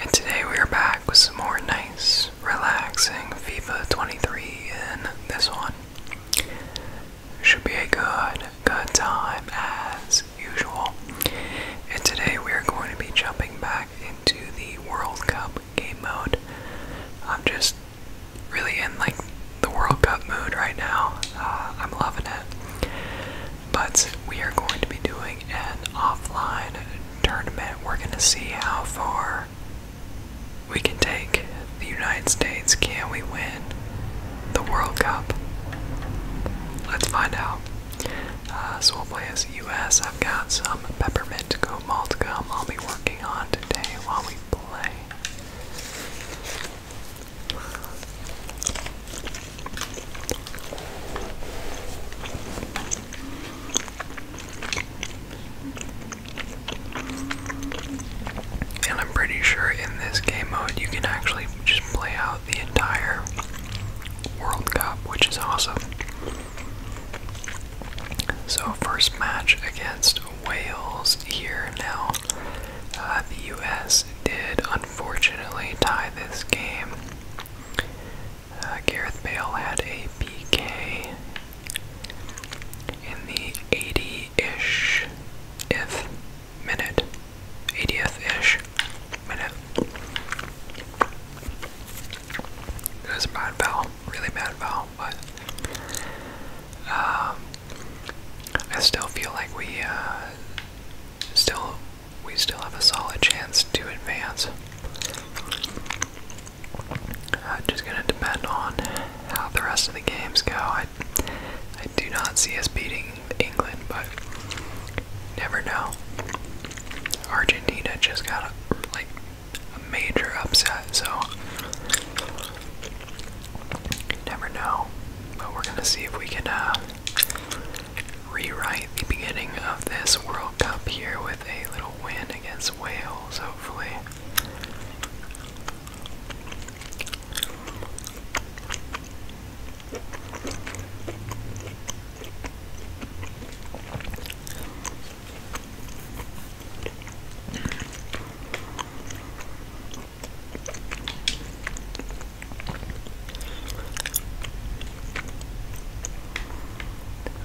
And today we are back with some more nice, relaxing FIFA 23 in this one. Should be a good, good time as usual. And today we are going to be jumping back into the World Cup game mode. I'm just really in like the World Cup mood right now. Uh, I'm loving it. But we are going to be doing an offline tournament. We're going to see how far we can take the United States. Can we win the World Cup? Let's find out. Uh, so we'll play as US. I've got some peppermint gum, malt gum I'll be working on today while we play. And I'm pretty sure in this game mode you can actually just play out the entire World Cup, which is awesome. So, first match against Wales here now. Uh, the US did unfortunately tie this game uh, Gareth Bale had a PK in the 80-ish if minute, 80th-ish minute. It was bad foul, really bad foul, but um, I still feel like we uh, still we still have a solid chance to advance. Uh, just gonna depend on how the rest of the games go. I, do not see us beating England, but never know. Argentina just got a, like a major upset, so never know. But we're gonna see if we can uh, rewrite the beginning of this World Cup here with a little win against Wales, hopefully.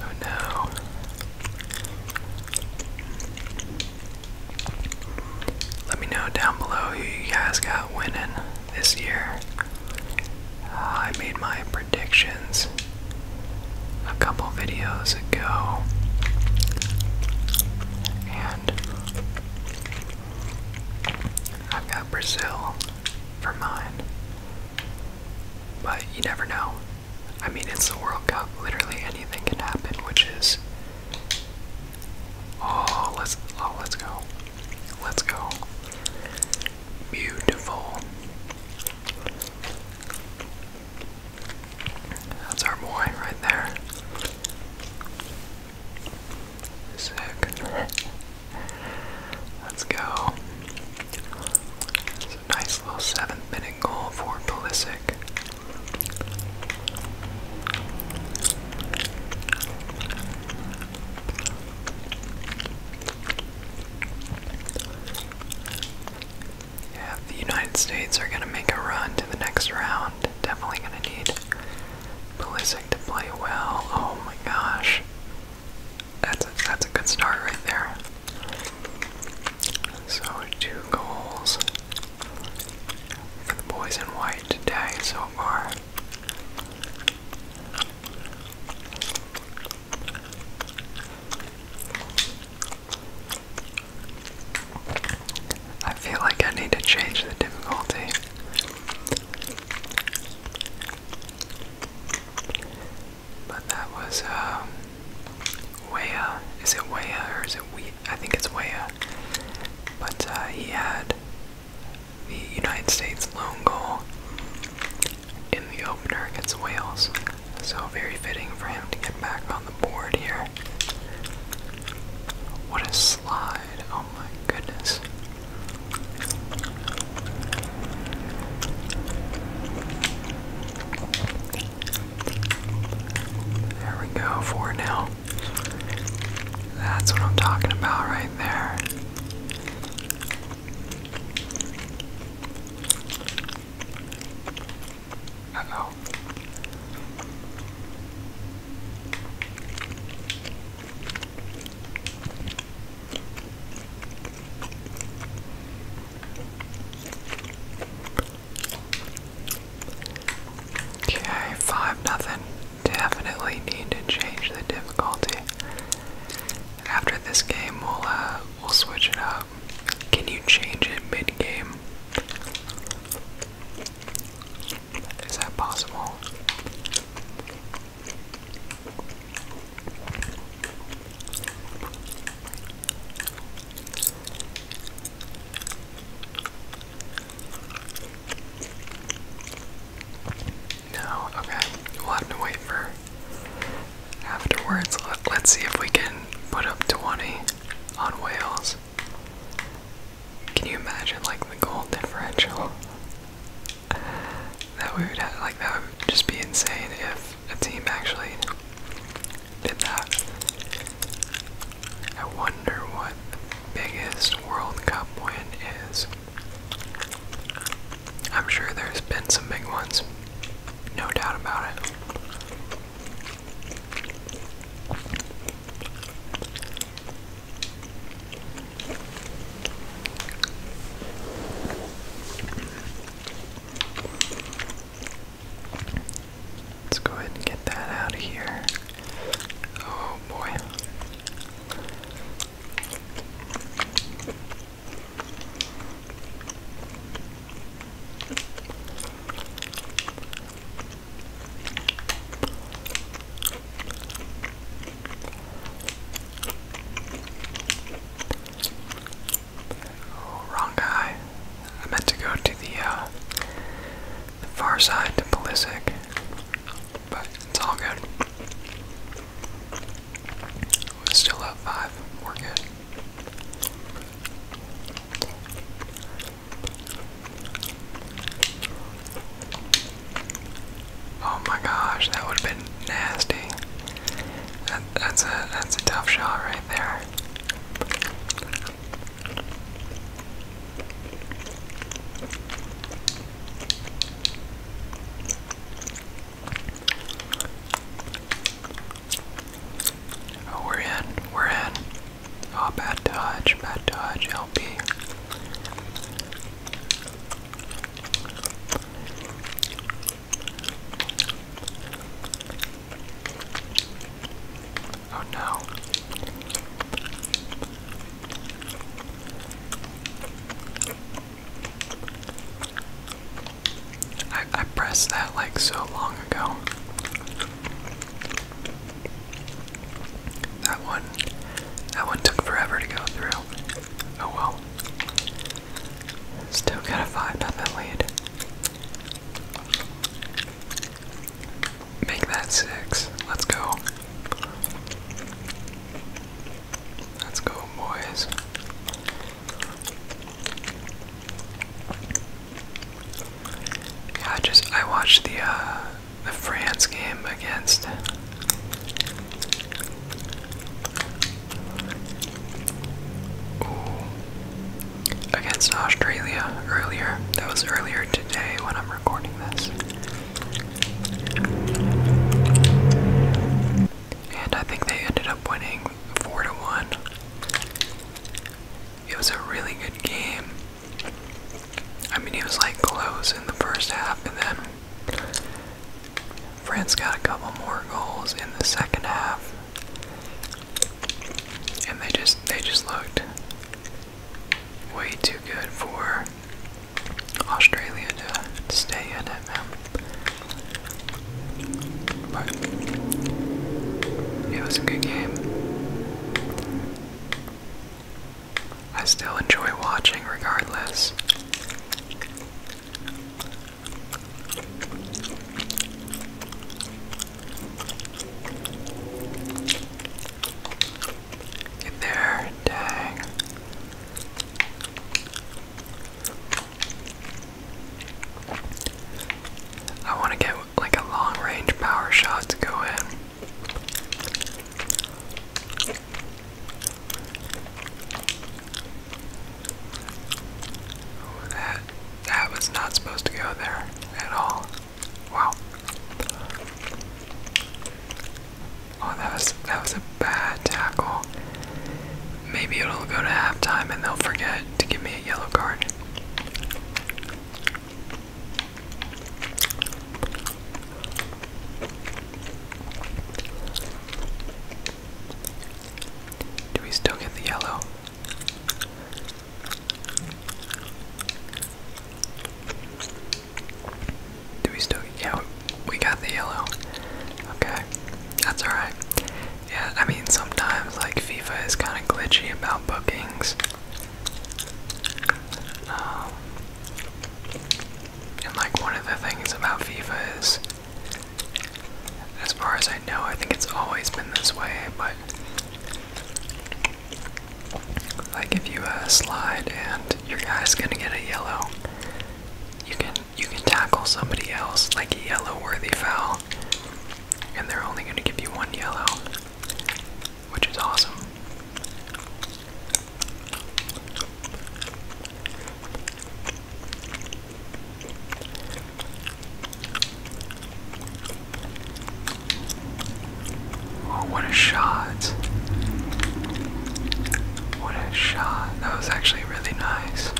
Oh no. Let me know down below who you guys got winning this year. Uh, I made my predictions a couple videos ago. And I've got Brazil for mine. But you never know. I mean, it's the World Cup. Literally anything can happen, which is. Oh, let's oh let's go, let's go. Beautiful. That's our boy right there. Sick. Let's go. nice little seventh minute goal for Pulisic. Yeah, the United States are going to make a run to the next round, definitely going to need Pulisic to play well. Oh my gosh. That's a, that's a good start right there. So two goals for the boys in white today so far. I feel like I need to change the difficulty. But that was um, Weah. Is it Weah or is it we? I think it's Weah. But uh, he had the United States lone goal in the opener against Wales. So very fitting for him to get back on the board here. What a slide! Oh my goodness. There we go, four now. That's what I'm talking about right there. Uh Okay, five nothing. Definitely need to change the difficulty. After this game, we'll uh, we'll switch it up. Can you change it mid-game? Is that possible? No, okay. We'll have to wait for afterwards. Let, us see if we can put up 20 on Wales. Can you imagine, like, the goal differential? That would like that would just be insane if a team actually did that. I wonder what the biggest World Cup win is. I'm sure there's been some big ones, no doubt about it. Let's go ahead and get that out of here. Oh boy wrong guy. I meant to go to the, uh, the far side to Polisic, but it's all good. We're still up five. We're good. Oh my gosh, that would have been nasty. that's a that's a tough shot right there. Oh, we're in. We're in. Oh, bad touch. Bad touch. LP. Oh no. I, I pressed that like so long ago. That one that one took forever to go through. Oh well. Still got a 5 nothing lead. Make that 6. Let's go. Let's go, boys. Yeah, I just I watched the uh, the France game against Against Australia earlier. That was earlier today when I'm recording this. And I think they ended up winning 4 to 1. It was a really good game. I mean, it was like close in the first half, and then France got a couple more goals in the second half, and they just they just looked way too good for Australia to stay in it, man. But it was a good game. I still enjoy watching regardless. Get there, dang. I want to get like a long range power shot to go in. Oh, that that was not supposed to go there at all. Wow. Oh, that was that was a bad tackle. Maybe it'll go to halftime and they'll forget to give me a yellow card. Do we still get the yellow? Do we still yeah we got the yellow. Okay. That's alright. Yeah, I mean sometimes like FIFA is kinda glitchy about bookings. Um, and like one of the things about FIFA is as far as I know, I think it's always been this way, but like if you uh, slide and your guy's gonna get a yellow, you can you can tackle somebody else like a yellow worthy foul, and they're only gonna give you one yellow, which is awesome. Oh, what a shot! What a shot! That was actually really nice.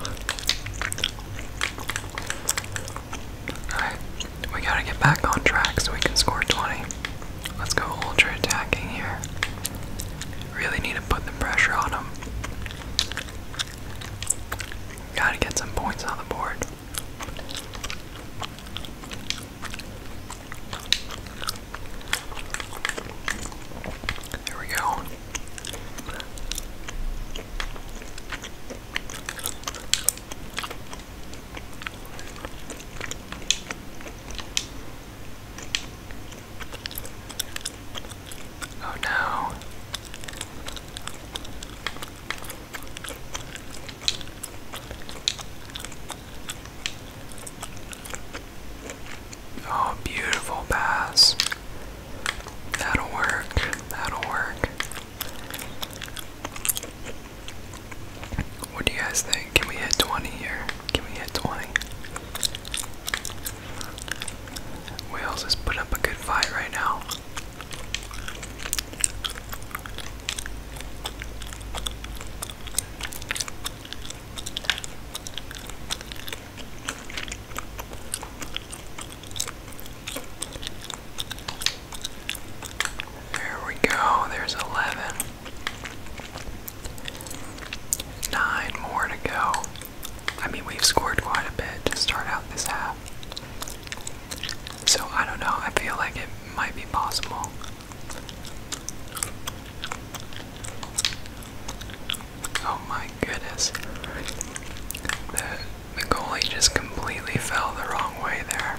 Alright, we gotta get back on track so we can score 20. Let's go ultra attacking here. Really need to put the pressure on them. Gotta get some points on the board. There we go. Oh no. Oh, beautiful bass. That'll work. That'll work. What do you guys think? Can we hit 20 here? Can we hit 20? Wales is putting up a good fight right now. There we go, there's 11. Nine more to go. I mean, we've scored quite a bit to start out this half. So I don't know, I feel like it might be possible. Oh my goodness. The goalie just completely fell the wrong way there.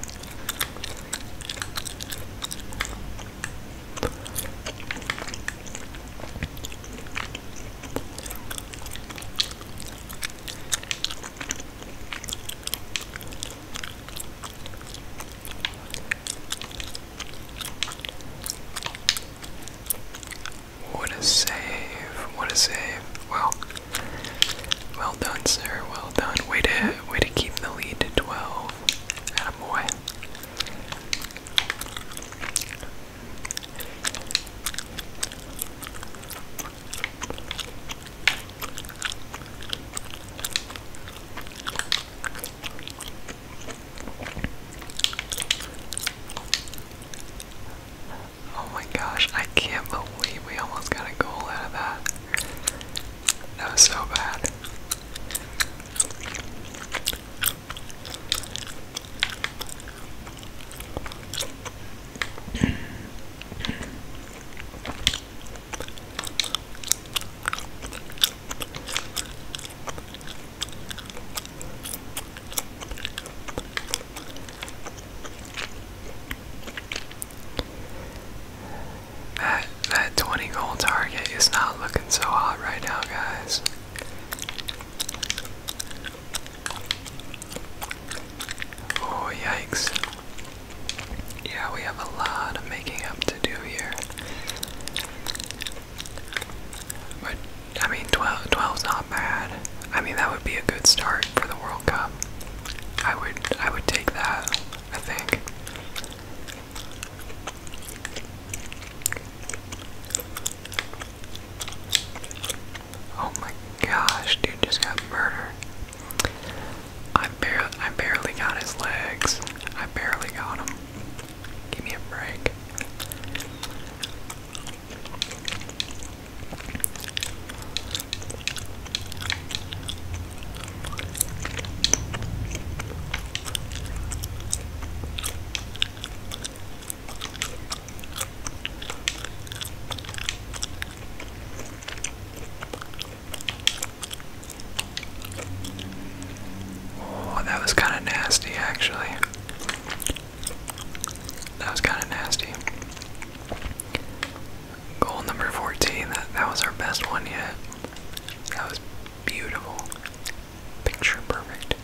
What a save. What a save. Well, well done, sir. Well done. Way to, way to keep the lead to 12. Attaboy. Oh my gosh, I can't believe we almost got a goal out of that. That was so bad. That that 20 goal target is not looking so hot right now, guys. Oh yikes. Yeah, we have a lot of making up to do here. But I mean 12 12's not bad. I mean, that would be a good start for the World Cup. I would, I would take that. I think. Oh my gosh, dude just got murdered. I barely, I barely got his legs. I barely got him. Give me a break. Oh, that was kind of nasty, actually. That was kind of nasty. Goal number 14, that, that was our best one yet. That was beautiful. Picture perfect.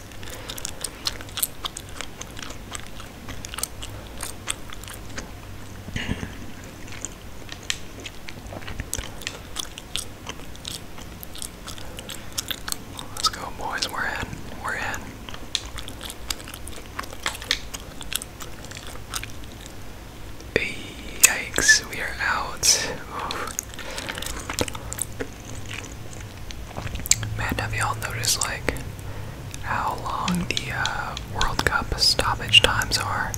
Let's go, boys. We're in. We're in. Yikes, we are out. Man, have y'all noticed like how long the uh, World Cup stoppage times are?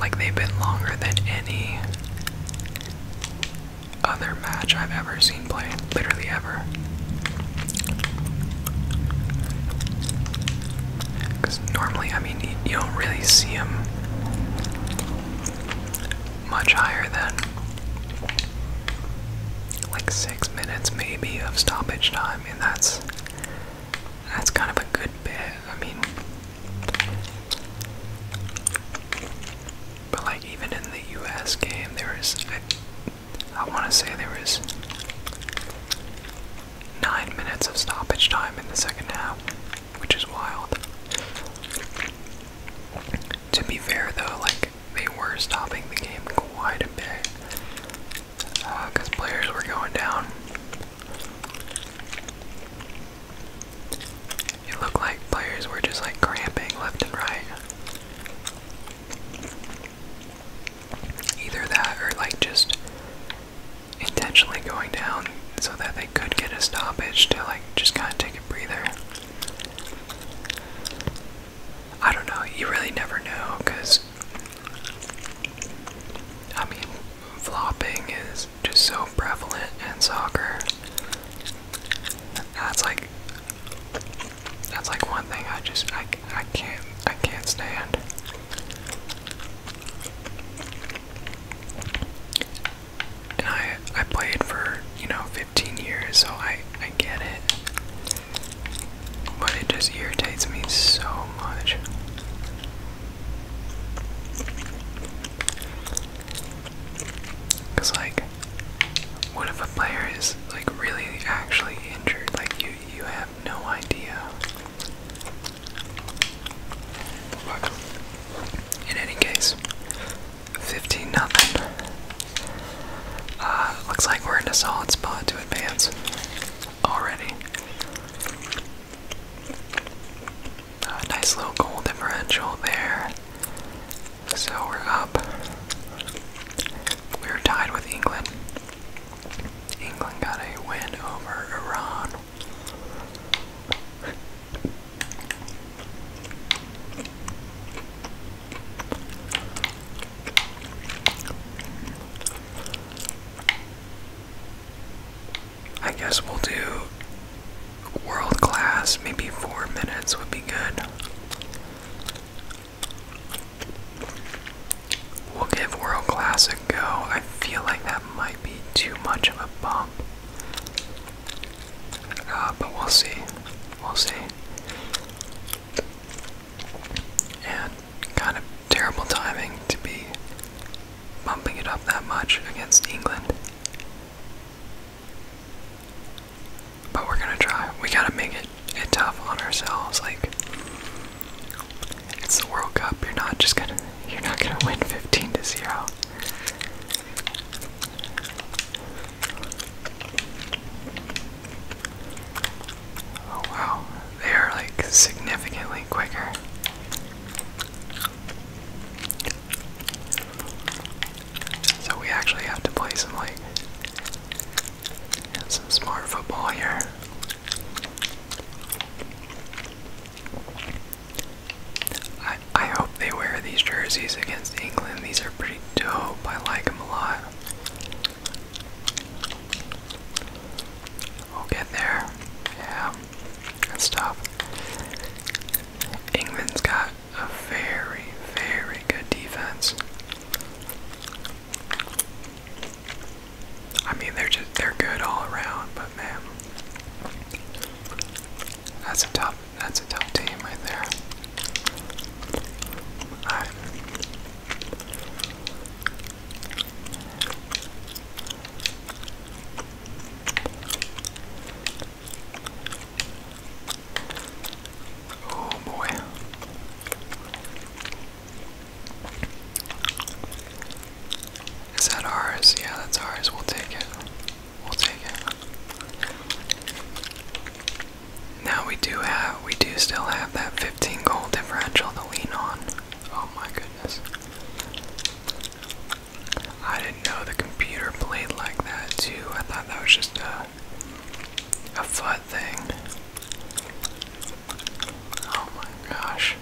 Like they've been longer than any other match I've ever seen seen play, literally ever. Because normally, I mean, you, don't really see him much higher than like six minutes, maybe, of stoppage time, and that's that's kind of a good bit. I mean, but like even in the U.S. game, there I want to say there was nine minutes of stoppage time in the second half, which is wild. To be fair, though, like they were stopping the game quite a bit because uh, players were going down. It looked like players were just like cramping left and right. Either that or like just intentionally going down so that they could get a stoppage to like just kind of take a breather. I don't know, you really never know because I mean, flopping is just so prevalent in soccer. That's like that's like one thing I just I I can't I can't stand. And I I played for you know 15 years, so I I get it. But it just irritates me so much. Cause like, what if a player is like really actually injured. Like you, you have no idea. in any case, 15 nothing. Uh, looks like we're in a solid spot to advance already. Uh, nice little goal differential there. So we're up we are tied with England. England got a win over Iran. I guess we'll do world class, maybe four minutes would be good. We'll give World Class a go. I feel like that might be too much of a bump. Uh, but we'll see. We'll see. And kind of terrible timing to be bumping it up that much against England. But we're gonna try. We gotta make it, it tough on ourselves. Like it's the World Cup. You're not just gonna you're not gonna win 15 to zero. Oh wow, they are like significantly quicker. So we actually have to play some like some smart football here. I I hope they wear these jerseys against England. These are pretty dope. I like them a lot. We'll get there. Yeah, good stuff. England's got a very, very good defense. I mean, they're just they're good all around, but man, that's a tough that's a tough team right there. I, Oh boy. Is that ours? Yeah, that's ours. We'll take it. We'll take it. Now we do have, we do still have that 15 goal differential to lean on. Oh my goodness. I didn't know the computer played like that too. I thought that was just a a foot thing. Oh my gosh.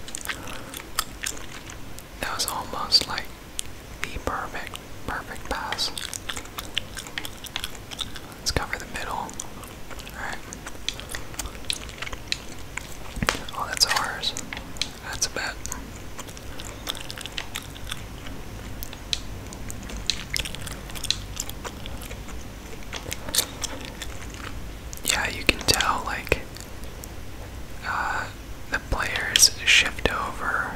That was almost like the perfect, perfect pass. Let's cover the middle. Alright. Oh, that's ours. That's a bet yeah, you can tell like uh, the players shift over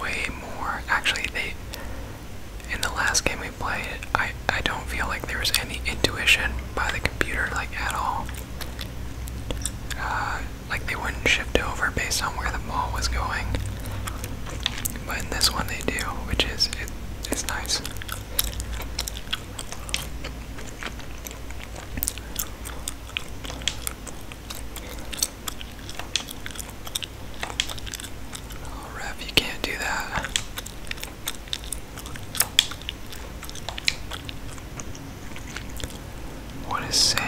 way more. Actually, they in the last game we played, I I don't feel like there was any intuition by the computer like at all. Uh, like they wouldn't shift over based on where the ball was going. But in this one they do, which is it's nice. Oh, Rev, you can't do that. What a save.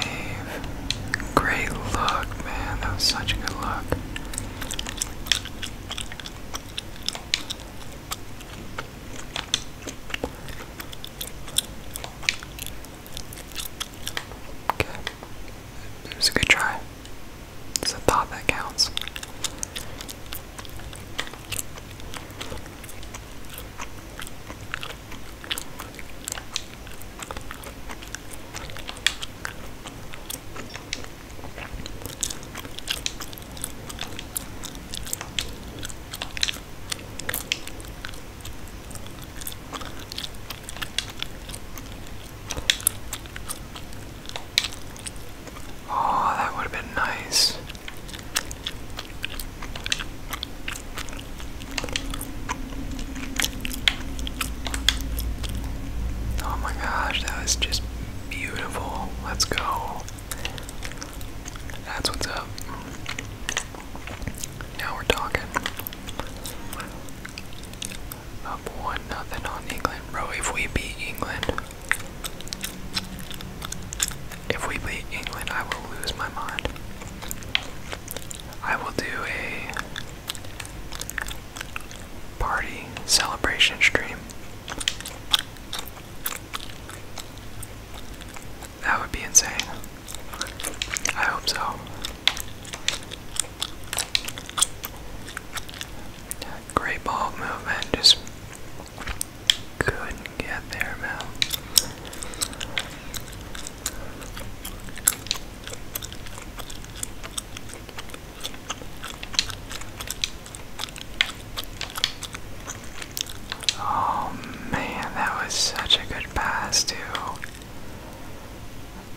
Great look, man. That was such good look. It was a good try. It's a thought that counts. Oh, that would have been nice. Oh my gosh, that was just Beautiful. Let's go. That's what's up. Now we're talking. Up one nothing on England, bro. If we beat England, if we beat England, I will lose my mind. I will do a party celebration stream. That would be insane. I hope so. Great ball movement, just couldn't get there, man. Oh man, that was such a good pass, too.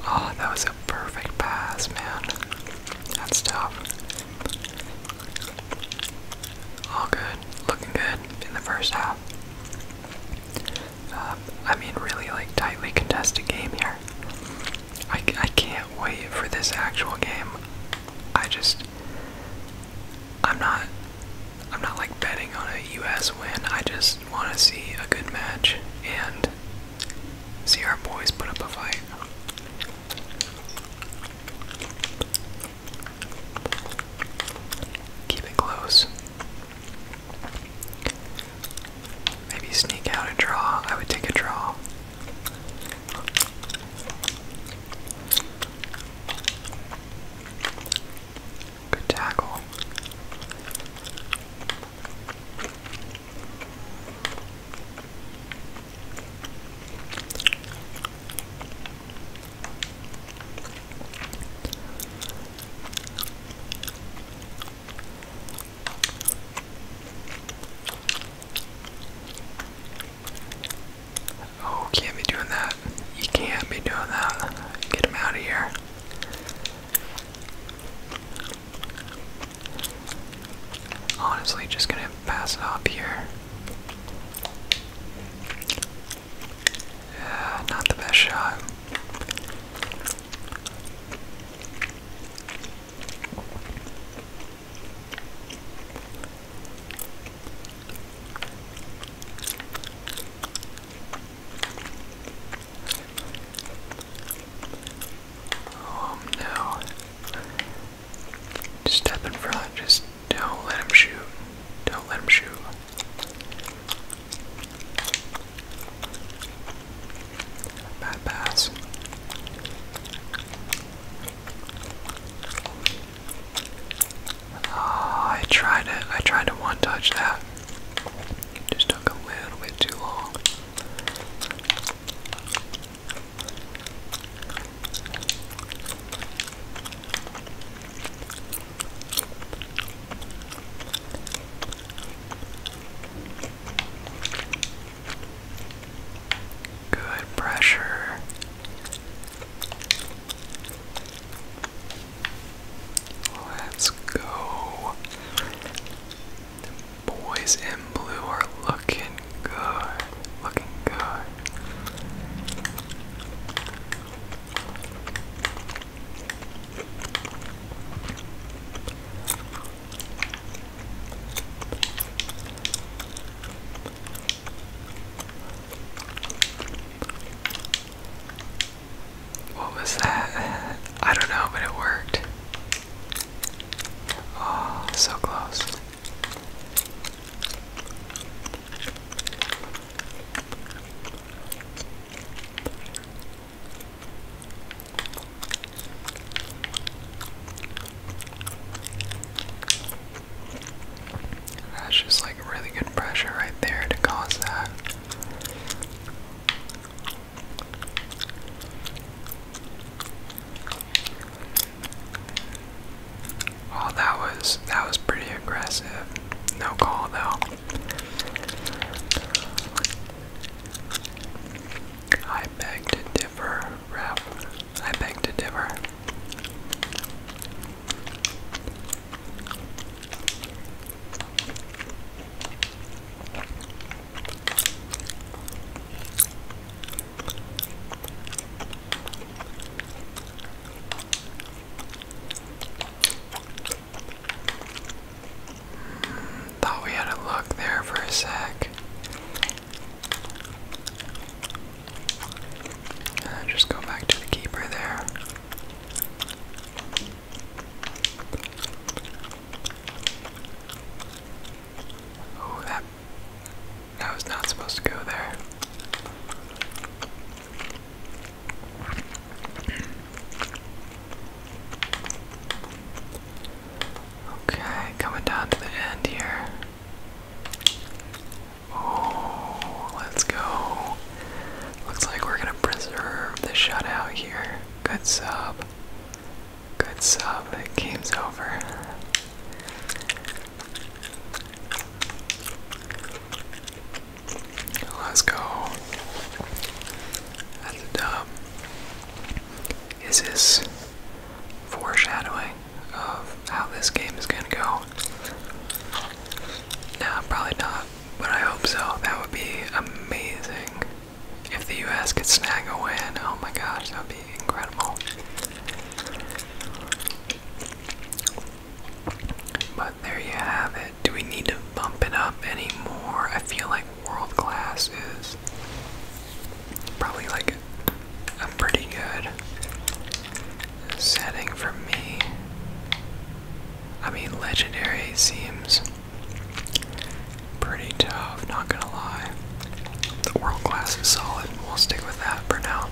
Oh, that was a perfect pass, man. That's tough. All good. Looking good in the first half. Um, I mean, really, like, tightly contested game here. I, I can't wait for this actual game. I just I'm not I'm not like betting on a US win. I just want to see a good match and see our boys put up a fight. Keep it close. Maybe sneak out a draw. I would take a draw. Good tackle. Oh, can't be doing that. You can't be doing that. Get him out of here. Honestly, just gonna pass it up here. Yeah, not the best shot. Oh no. Step in front, just don't let him shoot. Don't let him shoot. Bad pass. Oh, I tried it. I tried to one touch that. just took a little bit too long. Good pressure. Let's go. boys in blue are looking good. Looking good. What was that? I don't know, but it worked. Oh, so close. That's just like really good pressure right there to cause that. Oh, that was that was pretty aggressive. No call though. I beg to differ, Ralph. I beg to differ. Hmm, thought we had a look there for a sec. Uh, just go back to the keeper there. Oh, that that was not supposed to go there. Okay, coming down to the end here. Oh, let's go. Looks like we're gonna preserve the shutout here. Good sub. Good sub. The game's over. Let's go. That's a dub is this foreshadowing of how this game is going to go? Nah, probably not, but I hope so. That would be amazing. If the US could snag a win, oh my gosh, that would be incredible. But there you have it. Do we need to bump it up anymore? I feel like world class is probably like a pretty good setting for me. I mean, legendary seems pretty tough, not gonna lie. The world class is solid, we'll stick with that for now.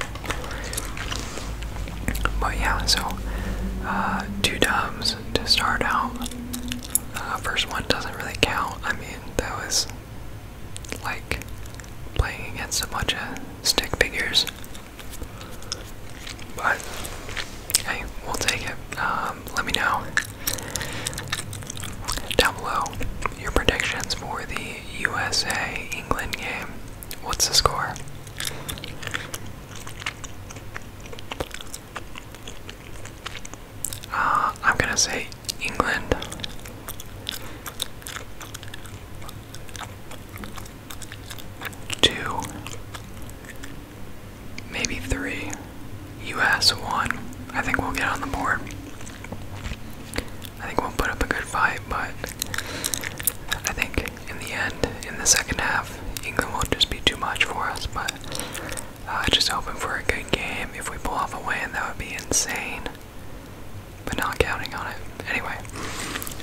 But yeah, so uh, two dubs to start out. Uh, first one doesn't really count. I mean, that was like playing against a bunch of stick figures. But hey, we'll take it. Um, let me know down below your predictions for the USA England game. What's the score? Uh, I'm gonna say England. Two, maybe three. US one. I think we'll get on the board. I think we'll put up a good fight, but I think in the end, in the second half, England will just be too much for us. But uh, just hoping for a good game. If we pull off a win, that would be insane. But not counting on it. Anyway,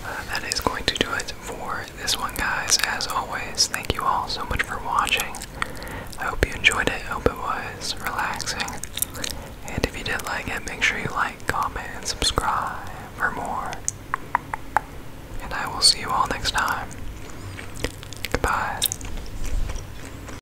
uh, that is going to do it for this one, guys. As always, thank you all so much for watching. I hope you enjoyed it. I hope it was relaxing. And if you did like it, make sure you like, comment, and subscribe for more. And I will see you all next time. Goodbye.